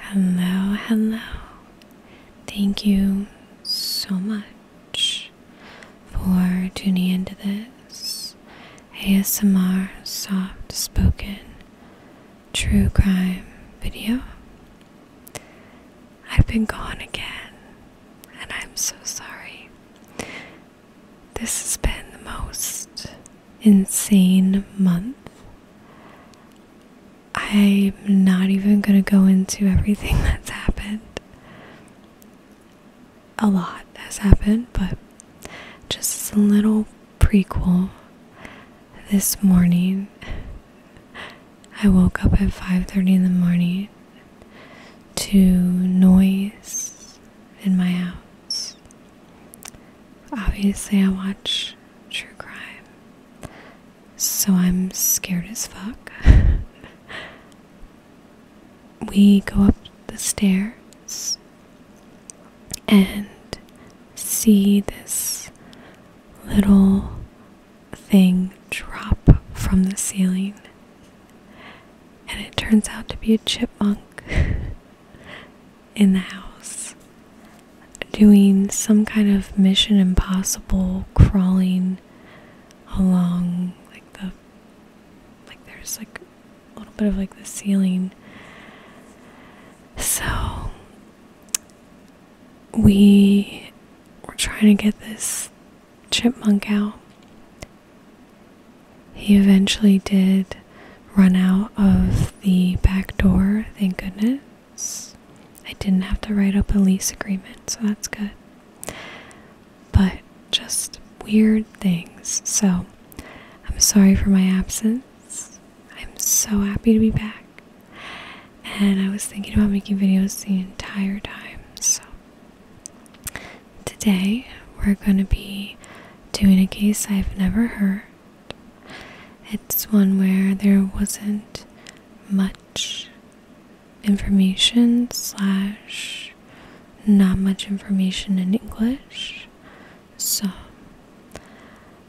Hello, hello. Thank you so much for tuning into this ASMR soft spoken true crime video. I've been gone again, and I'm so sorry. This has been the most insane month. I'm not even going to go into everything that's happened. A lot has happened, but just a little prequel. This morning I woke up at 5:30 in the morning to noise in my house. Obviously, I watch true crime. So I'm scared as fuck. we go up the stairs and see this little thing drop from the ceiling. And it turns out to be a chipmunk. in the house doing some kind of Mission Impossible crawling along like the like there's like a little bit of like the ceiling. So we were trying to get this chipmunk out. He eventually did run out of the back door, thank goodness. I didn't have to write up a lease agreement, so that's good. But just weird things. So I'm sorry for my absence. I'm so happy to be back. And I was thinking about making videos the entire time. So today we're going to be doing a case I've never heard it's one where there wasn't much information, slash, not much information in English. So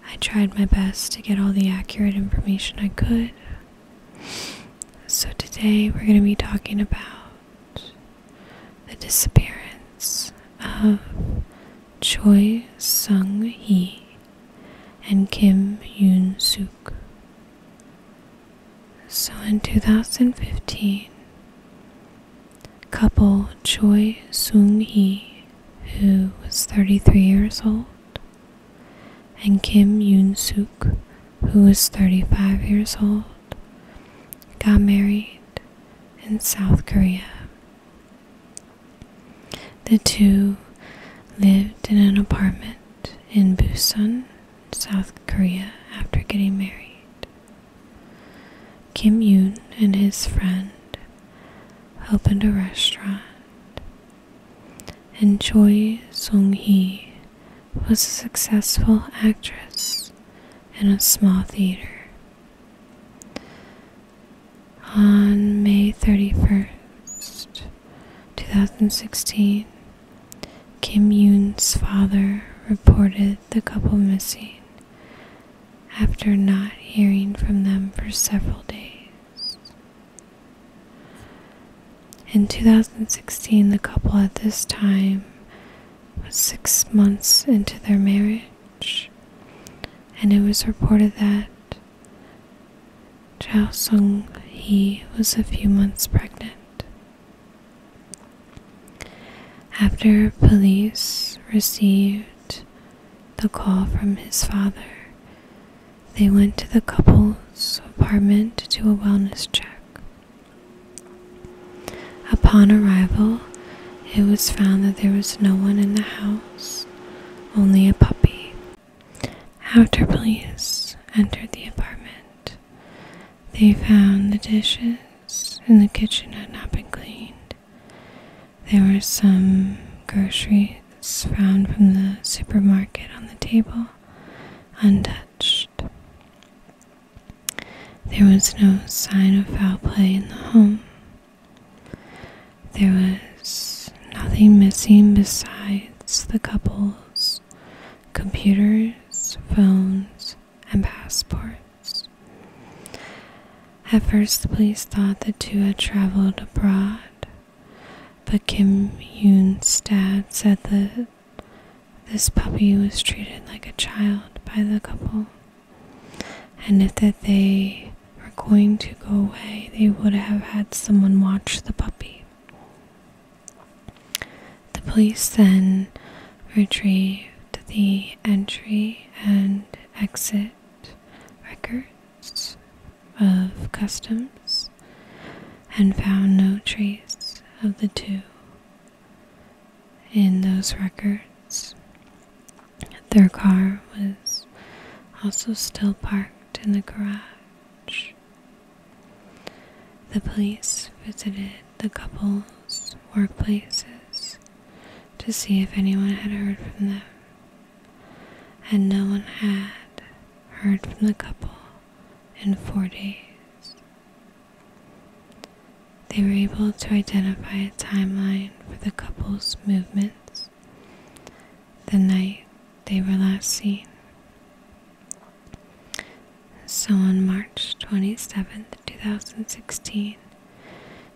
I tried my best to get all the accurate information I could. So today we're going to be talking about the disappearance of Choi Sung Hee and Kim Yoon Suk. So in 2015, couple Choi Sung Hee, who was 33 years old, and Kim Yoon Suk, who was 35 years old, got married in South Korea. The two lived in an apartment in Busan, South Korea, after getting married. Kim Yoon and his friend opened a restaurant, and Choi Sung Hee was a successful actress in a small theater on May 31st, 2016, Kim Yoon's father reported the couple missing after not hearing from them for several days. In 2016, the couple at this time was six months into their marriage and it was reported that Chao Sung He was a few months pregnant. After police received the call from his father, they went to the couple's apartment to do a wellness check. Upon arrival, it was found that there was no one in the house, only a puppy. After police entered the apartment, they found the dishes in the kitchen had not been cleaned. There were some groceries found from the supermarket on the table, untouched. There was no sign of foul play in the home. There was nothing missing besides the couple's computers, phones, and passports. At first, the police thought the two had traveled abroad, but Kim Yoon's dad said that this puppy was treated like a child by the couple and if that they were going to go away, they would have had someone watch the puppy. The police then retrieved the entry and exit records of customs and found no trace of the two in those records. Their car was also still parked in the garage. The police visited the couple's workplaces to see if anyone had heard from them, and no one had heard from the couple in four days. They were able to identify a timeline for the couple's movements the night they were last seen. So on March 27, 2016,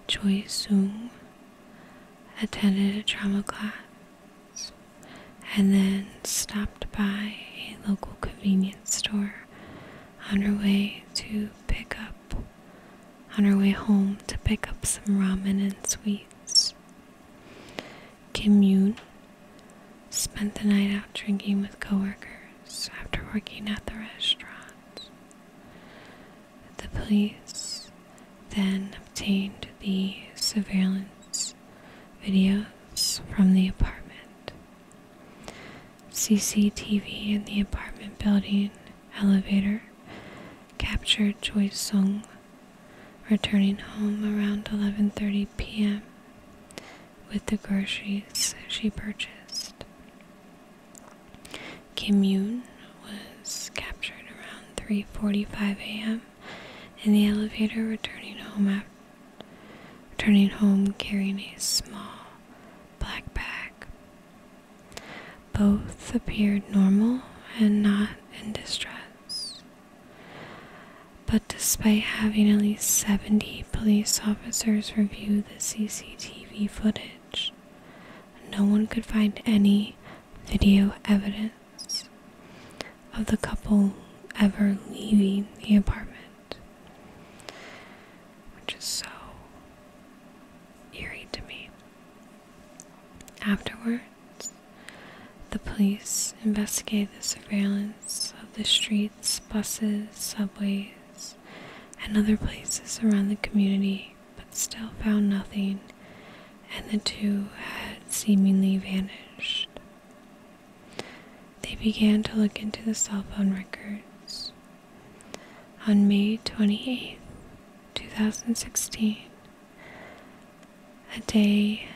Choi Sung attended a drama class and then stopped by a local convenience store on her way to pick up on her way home to pick up some ramen and sweets. Kim Yoon spent the night out drinking with coworkers after working at the restaurant. The police then obtained the surveillance videos from the apartment. CCTV in the apartment building elevator captured Choi Sung returning home around 11:30 p.m. with the groceries she purchased. Kim Yoon was captured around 3:45 a.m. in the elevator returning home after returning home carrying a small black bag. Both appeared normal and not in distress. But despite having at least 70 police officers review the CCTV footage, no one could find any video evidence of the couple ever leaving the apartment. Which is so eerie to me. Afterwards, the police investigated the surveillance of the streets, buses, subways, and other places around the community, but still found nothing, and the two had seemingly vanished. They began to look into the cell phone records, on May twenty-eighth, two 2016, a day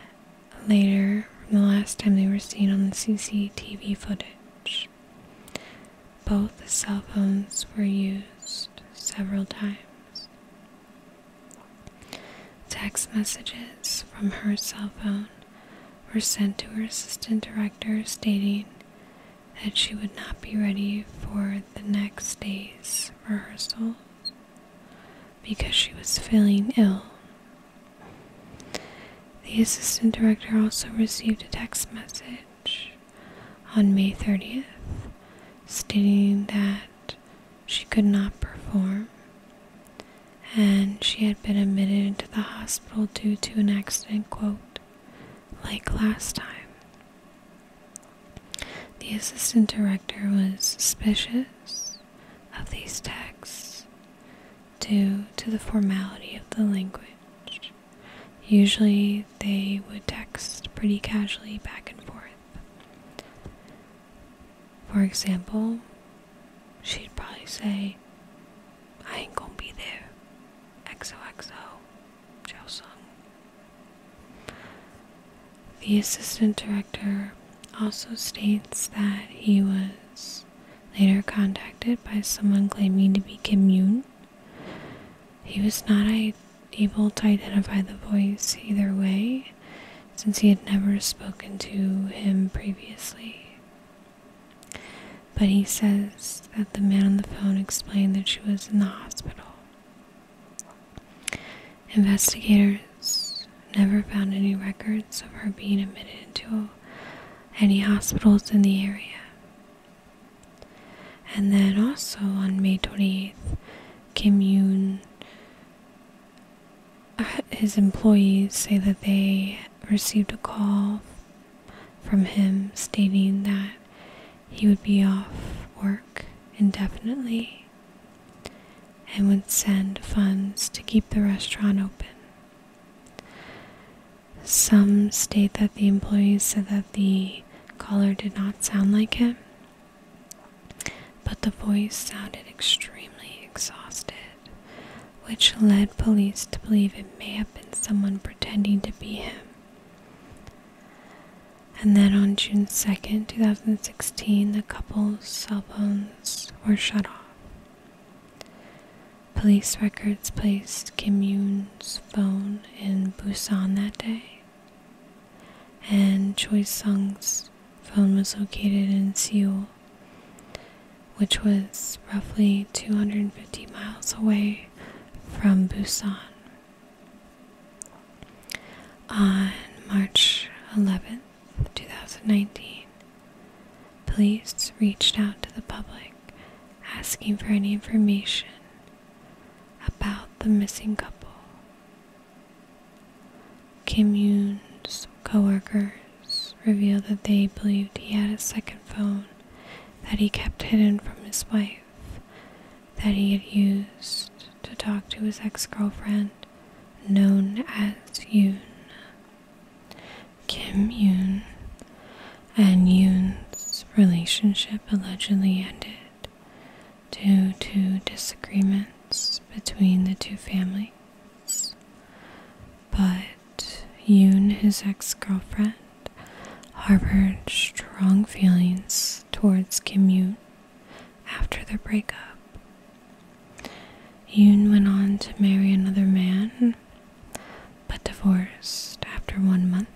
later from the last time they were seen on the CCTV footage, both cell phones were used several times. Text messages from her cell phone were sent to her assistant director stating that she would not be ready for the next day's rehearsals because she was feeling ill. The assistant director also received a text message on May 30th stating that she could not perform and she had been admitted to the hospital due to an accident like last time. The assistant director was suspicious of these texts due to the formality of the language. Usually they would text pretty casually back and forth. For example, she'd probably say, I ain't gonna be there. XOXO, Sung. The assistant director also states that he was later contacted by someone claiming to be Kim Yoon. He was not able to identify the voice either way, since he had never spoken to him previously. But he says that the man on the phone explained that she was in the hospital. Investigators never found any records of her being admitted to any hospitals in the area. And then also on May 28th, Kim Yoon, uh, his employees say that they received a call from him stating that he would be off work indefinitely and would send funds to keep the restaurant open. Some state that the employees said that the caller did not sound like him, but the voice sounded extremely exhausted, which led police to believe it may have been someone pretending to be him. And then on June 2nd, 2016, the couple's cell phones were shut off. Police records placed Kim Yoon's phone in Busan that day, and Choi Sung's phone was located in Seoul which was roughly 250 miles away from Busan. On March 11th, 2019, police reached out to the public asking for any information about the missing couple. Kim Yun's coworker revealed that they believed he had a second phone that he kept hidden from his wife that he had used to talk to his ex girlfriend, known as Yoon. Kim Yoon and Yoon's relationship allegedly ended due to disagreements between the two families. But that Yoon, his ex girlfriend, harbored strong feelings towards Kim Yoon after their breakup. Yoon went on to marry another man, but divorced after one month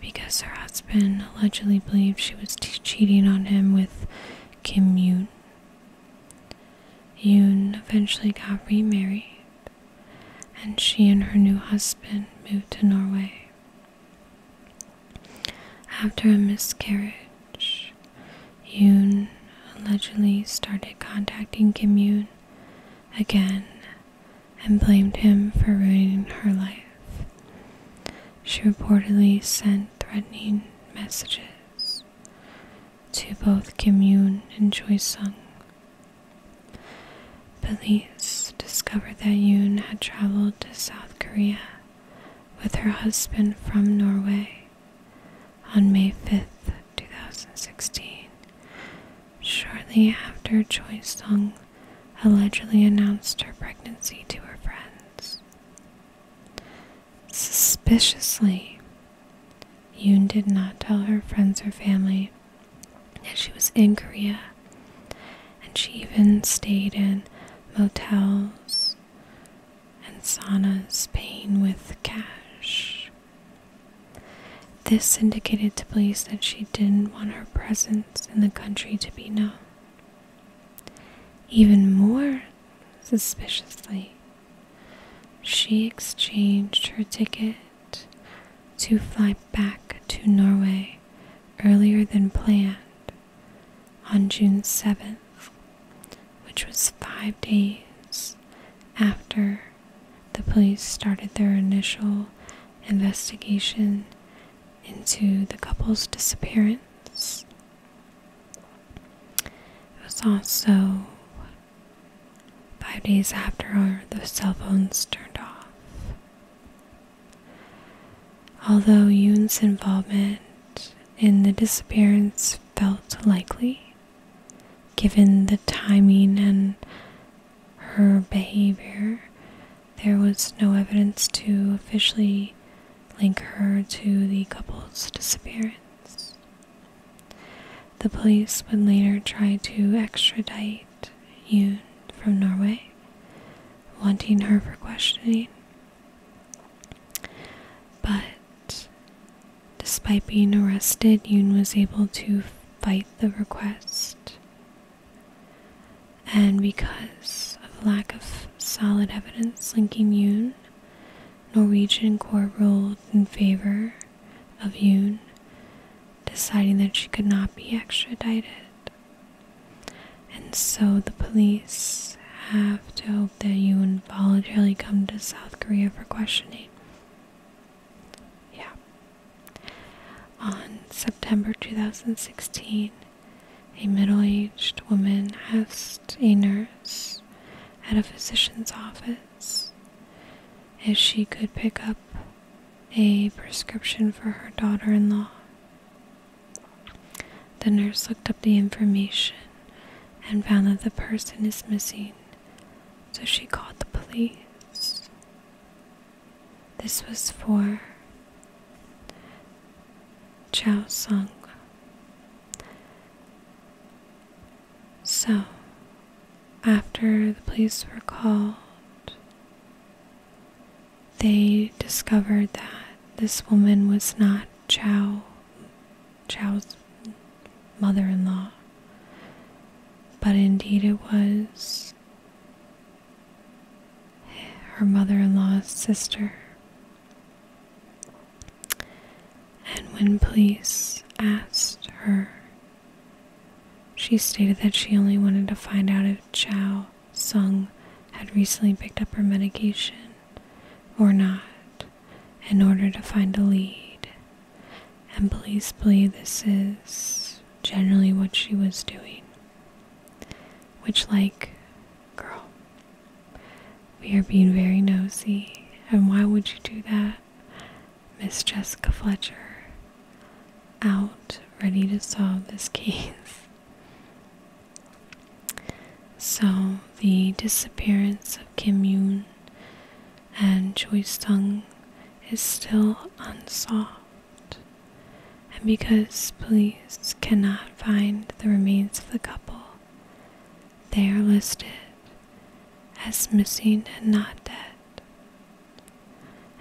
because her husband allegedly believed she was cheating on him with Kim Yoon. Yoon eventually got remarried and she and her new husband moved to Norway. After a miscarriage, Yoon allegedly started contacting Kim Yoon again and blamed him for ruining her life. She reportedly sent threatening messages to both Kim Yoon and Choi Sung. Police discovered that Yoon had traveled to South Korea with her husband from Norway on May 5, 2016, shortly after Choi Sung allegedly announced her pregnancy to her friends. Suspiciously, Yoon did not tell her friends or family that she was in Korea, and she even stayed in motels and saunas, paying with cash. This indicated to police that she didn't want her presence in the country to be known. Even more suspiciously, she exchanged her ticket to fly back to Norway earlier than planned on June 7th, which was five days after the police started their initial investigation into the couple's disappearance. It was also Five days after the cell phones turned off. Although Yoon's involvement in the disappearance felt likely, given the timing and her behavior, there was no evidence to officially link her to the couple's disappearance. The police would later try to extradite Yoon from Norway, wanting her for questioning. But despite being arrested, Yoon was able to fight the request. And because of lack of solid evidence linking Yoon, Norwegian court ruled in favor of Yoon, deciding that she could not be extradited. And so the police have to hope that Yoon voluntarily come to South Korea for questioning. Yeah. On September 2016, a middle aged woman asked a nurse at a physician's office if she could pick up a prescription for her daughter in law. The nurse looked up the information and found that the person is missing, so she called the police. This was for Chao Sung. So, after the police were called, they discovered that this woman was not Chow, Chow's mother in law, but indeed it was her mother in law's sister. And when police asked her, she stated that she only wanted to find out if Chow Sung had recently picked up her medication or not in order to find a lead. And police believe this is generally what she was doing. Which, like, girl, we are being very nosy, and why would you do that? Miss Jessica Fletcher, out, ready to solve this case. So, the disappearance of Kim Yoon and Choi Sung is still unsolved, and because police cannot find the remains of the couple, they are listed as missing and not dead.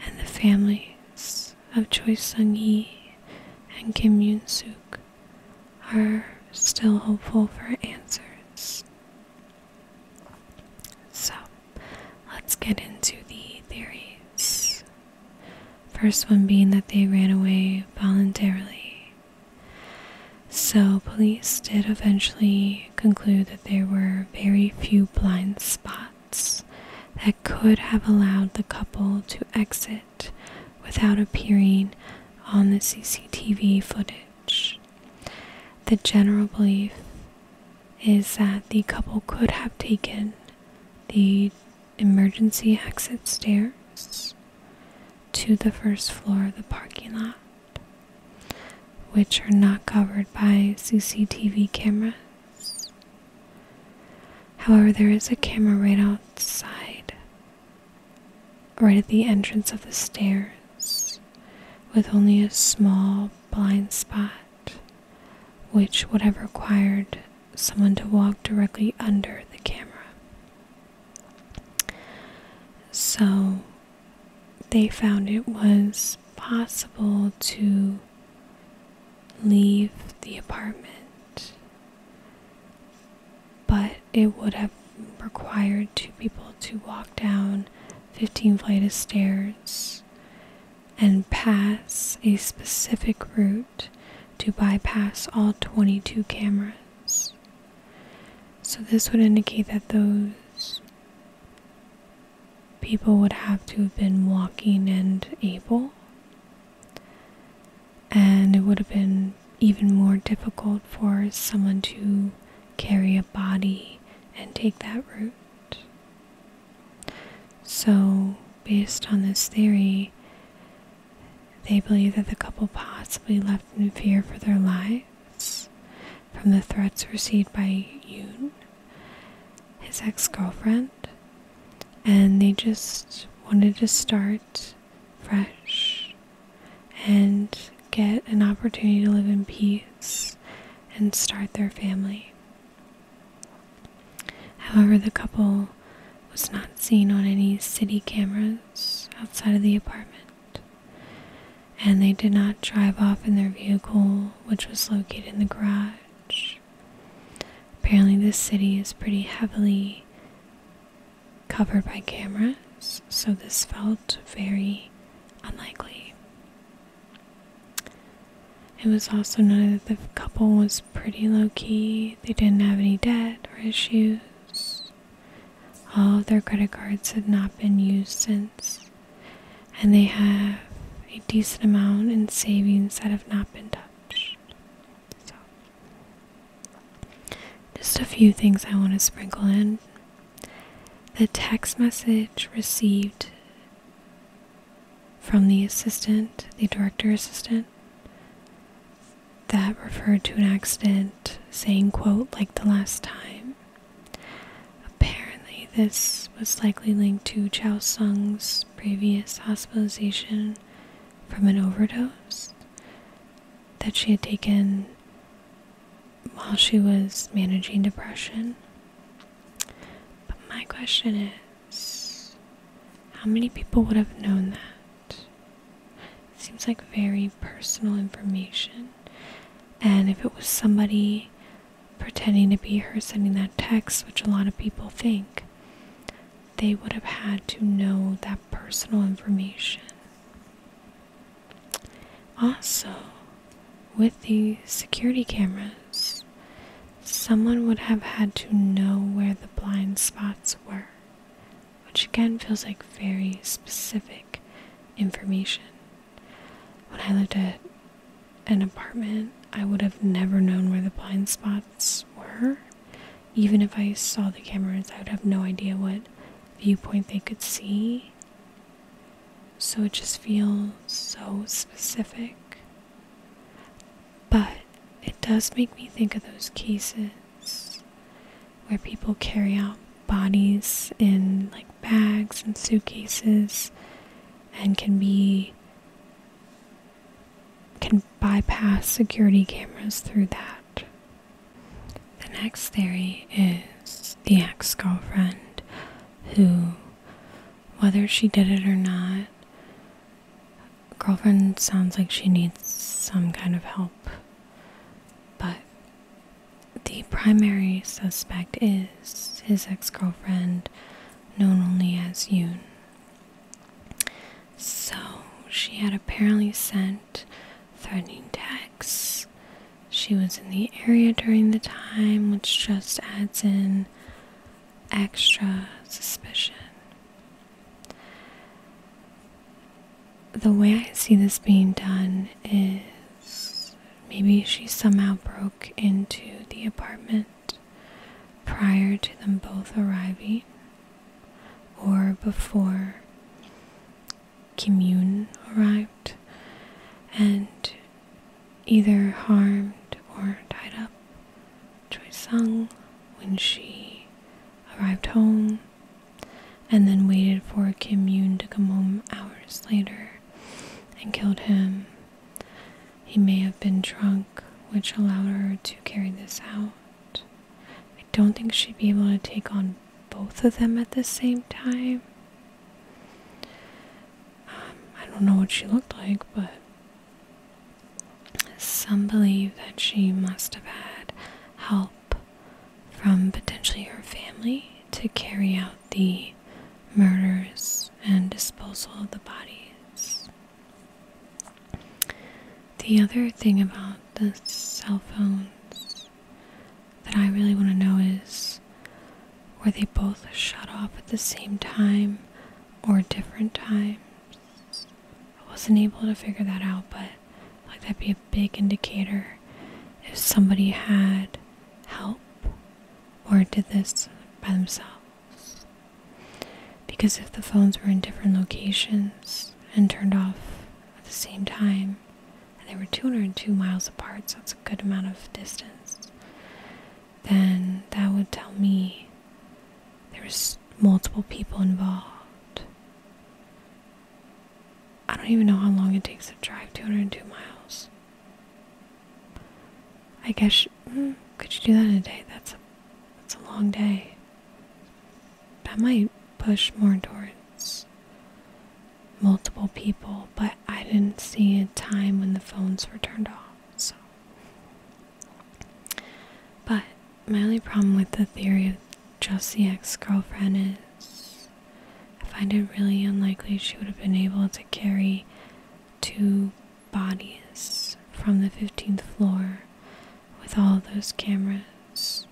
And the families of Choi Sung Yi and Kim Yoon Suk are still hopeful for answers. So let's get into the theories. First one being that they ran away voluntarily. So, police did eventually conclude that there were very few blind spots that could have allowed the couple to exit without appearing on the CCTV footage. The general belief is that the couple could have taken the emergency exit stairs to the first floor of the parking lot, which are not covered by CCTV cameras. However, there is a camera right outside, right at the entrance of the stairs, with only a small blind spot, which would have required someone to walk directly under the camera. So they found it was possible to leave the apartment, but it would have required two people to walk down 15 flights of stairs and pass a specific route to bypass all 22 cameras. So this would indicate that those people would have to have been walking and able, and it would have been even more difficult for someone to carry a body and take that route. So, based on this theory, they believe that the couple possibly left in fear for their lives from the threats received by Yoon, his ex girlfriend, and they just wanted to start fresh and get an opportunity to live in peace and start their family. However, the couple was not seen on any city cameras outside of the apartment, and they did not drive off in their vehicle, which was located in the garage. Apparently, this city is pretty heavily covered by cameras, so this felt very unlikely. It was also noted that the couple was pretty low key, they didn't have any debt or issues. All of their credit cards have not been used since, and they have a decent amount in savings that have not been touched. So, just a few things I want to sprinkle in. The text message received from the assistant, the director assistant, that referred to an accident saying quote like the last time apparently this was likely linked to chow sung's previous hospitalization from an overdose that she had taken while she was managing depression but my question is how many people would have known that Seems like very personal information. And if it was somebody pretending to be her sending that text, which a lot of people think, they would have had to know that personal information. Also, with these security cameras, someone would have had to know where the blind spots were which again feels like very specific information. When I lived at an apartment, I would have never known where the blind spots were. Even if I saw the cameras, I would have no idea what viewpoint they could see. So it just feels so specific. But it does make me think of those cases where people carry out bodies in like bags and suitcases and can be can bypass security cameras through that. The next theory is the ex-girlfriend who whether she did it or not girlfriend sounds like she needs some kind of help, but the primary suspect is his ex girlfriend, known only as Yoon. So she had apparently sent threatening texts. She was in the area during the time, which just adds in extra suspicion. The way I see this being done is maybe she somehow broke into the apartment prior to them both arriving or before Kim Yun arrived and either harmed or tied up Choi Sung when she arrived home and then waited for Kim Yoon to come home hours later and killed him. He may have been drunk, which allowed her to carry this out. I don't think she'd be able to take on both of them at the same time. Um, I don't know what she looked like, but some believe that she must have had help from potentially her family to carry out the murders and disposal of the bodies. The other thing about the cell phones that I really want to know is were they both shut off at the same time or different times? I wasn't able to figure that out, but like that'd be a big indicator if somebody had help or did this by themselves. Because if the phones were in different locations and turned off at the same time, and they were 202 miles apart, so that's a good amount of distance, then that would tell me there was multiple people involved. I don't even know how long it takes to drive 202 miles. I guess hmm, could you do that in a day? That's a that's a long day. I might push more towards multiple people, but I didn't see a time when the phones were turned off. So, but my only problem with the theory of just the ex-girlfriend is I find it really unlikely she would have been able to carry two bodies from the 15th floor with all those cameras.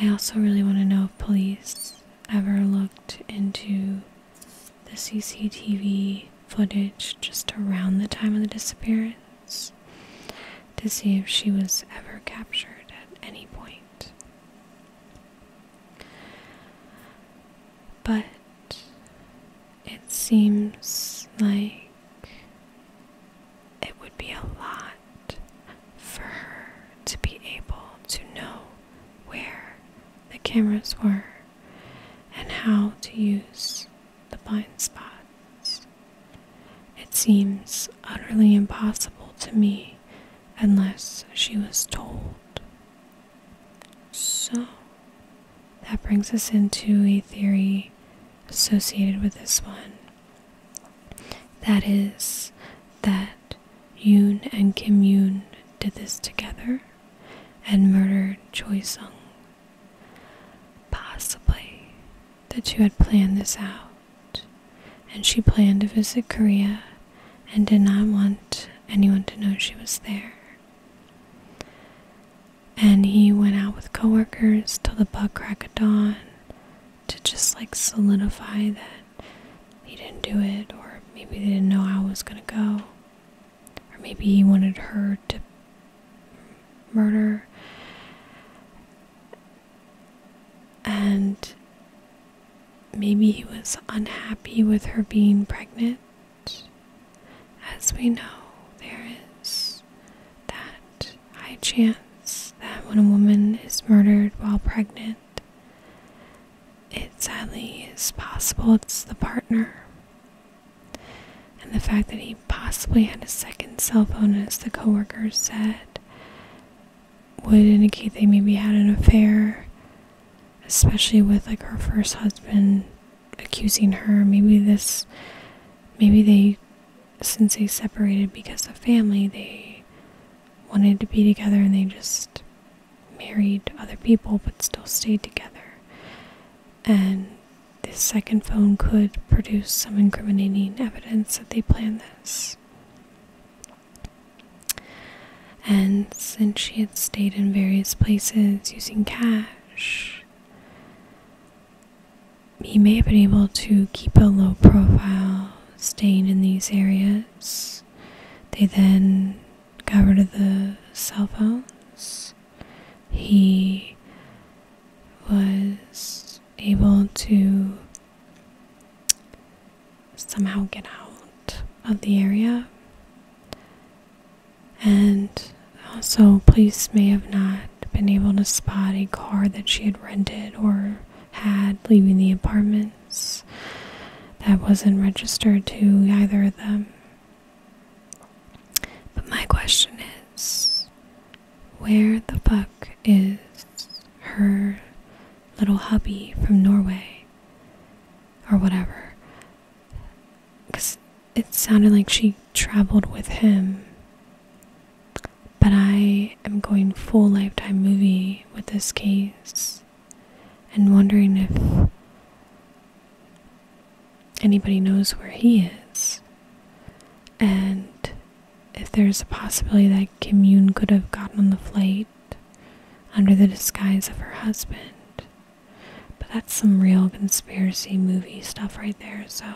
I also really want to know if police ever looked into the CCTV footage just around the time of the disappearance to see if she was ever captured at any point. But it seems like it would be a lot for her to be able to know where the cameras were and how to use the blind spots. It seems utterly impossible to me unless she was told. So, that brings us into a theory associated with this one. That is, that Yoon and Kim Yoon did this together and murdered Choi Sung Possibly that you had planned this out, and she planned to visit Korea and did not want anyone to know she was there. And he went out with coworkers till the bug crack of dawn to just like solidify that he didn't do it, or maybe they didn't know how it was gonna go, or maybe he wanted her to murder and maybe he was unhappy with her being pregnant as we know there is that high chance that when a woman is murdered while pregnant it sadly is possible it's the partner and the fact that he possibly had a second cell phone, as the coworkers said, would indicate they maybe had an affair, especially with like her first husband accusing her. Maybe this, maybe they, since they separated because of family, they wanted to be together and they just married other people but still stayed together. And this second phone could produce some incriminating evidence that they planned this. And since she had stayed in various places using cash, he may have been able to keep a low profile staying in these areas. They then got rid of the cell phones he was able to somehow get out of the area. And also, police may have not been able to spot a car that she had rented or had leaving the apartments that wasn't registered to either of them. But my question is where the fuck is her little hubby from Norway? Or whatever. Because it sounded like she traveled with him. But I am going full lifetime movie with this case and wondering if anybody knows where he is. And if there's a possibility that Kim Yoon could have gotten on the flight under the disguise of her husband. But that's some real conspiracy movie stuff right there, so.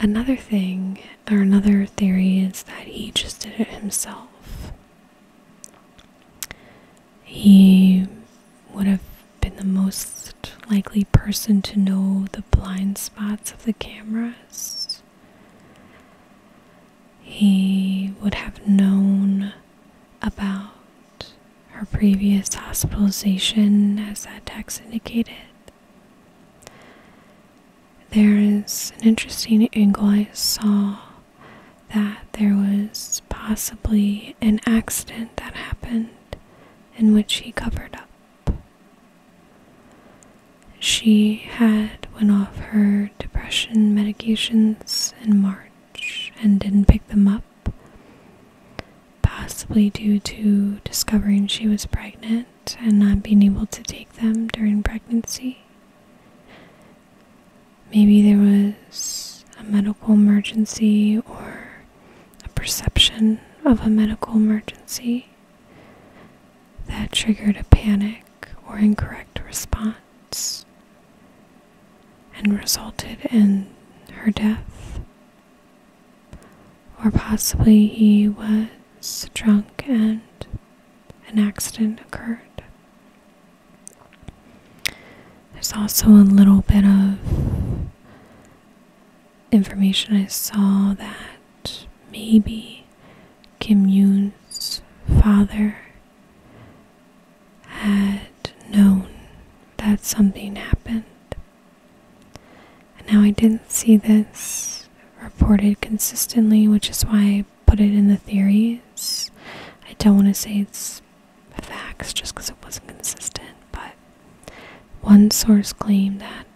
Another thing, or another theory, is that he just did it himself. He would have been the most likely person to know the blind spots of the cameras. He would have known about her previous hospitalization, as that text indicated. There is an interesting angle I saw that there was possibly an accident that happened in which he covered up. She had went off her depression medications in March and didn't pick them up. Possibly due to discovering she was pregnant and not being able to take them during pregnancy. Maybe there was a medical emergency or a perception of a medical emergency that triggered a panic or incorrect response and resulted in her death. Or possibly he was drunk and an accident occurred. There's also a little bit of information I saw that maybe Kim Yun's father had known that something happened. And now I didn't see this reported consistently, which is why I put it in the theories. I don't want to say it's facts just because it wasn't consistent. But one source claimed that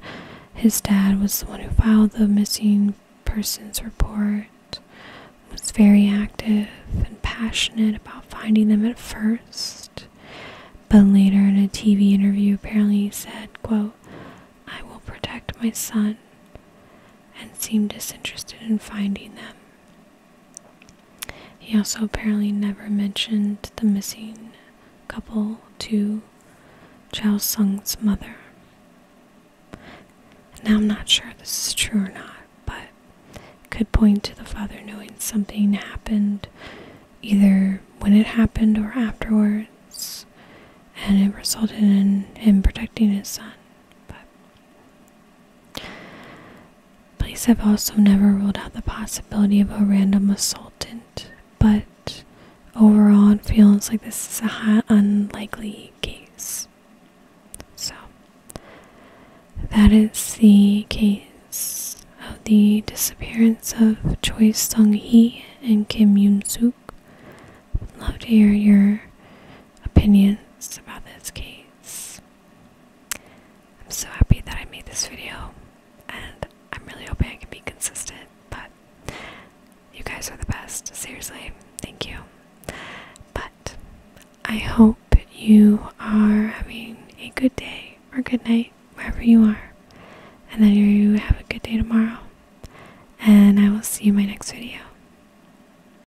his dad was the one who filed the missing persons report, was very active and passionate about finding them at first. But later in a TV interview, apparently he said, quote, I will protect my son and seemed disinterested in finding them. He also apparently never mentioned the missing couple to Chao Sung's mother. Now, I'm not sure this is true or not, but could point to the father knowing something happened either when it happened or afterwards, and it resulted in him protecting his son. Police have also never ruled out the possibility of a random assaultant, but overall it feels like this is an unlikely case. So that is the case of the disappearance of Choi Sung Hee and Kim Yoon Suk. Love to hear your opinions about this case. I'm so happy that I made this video, and I'm really hoping I can be consistent, but you guys are the best. Seriously, thank you. But I hope you are having a good day or good night, wherever you are, and that you have a good day tomorrow. And I will see you in my next video.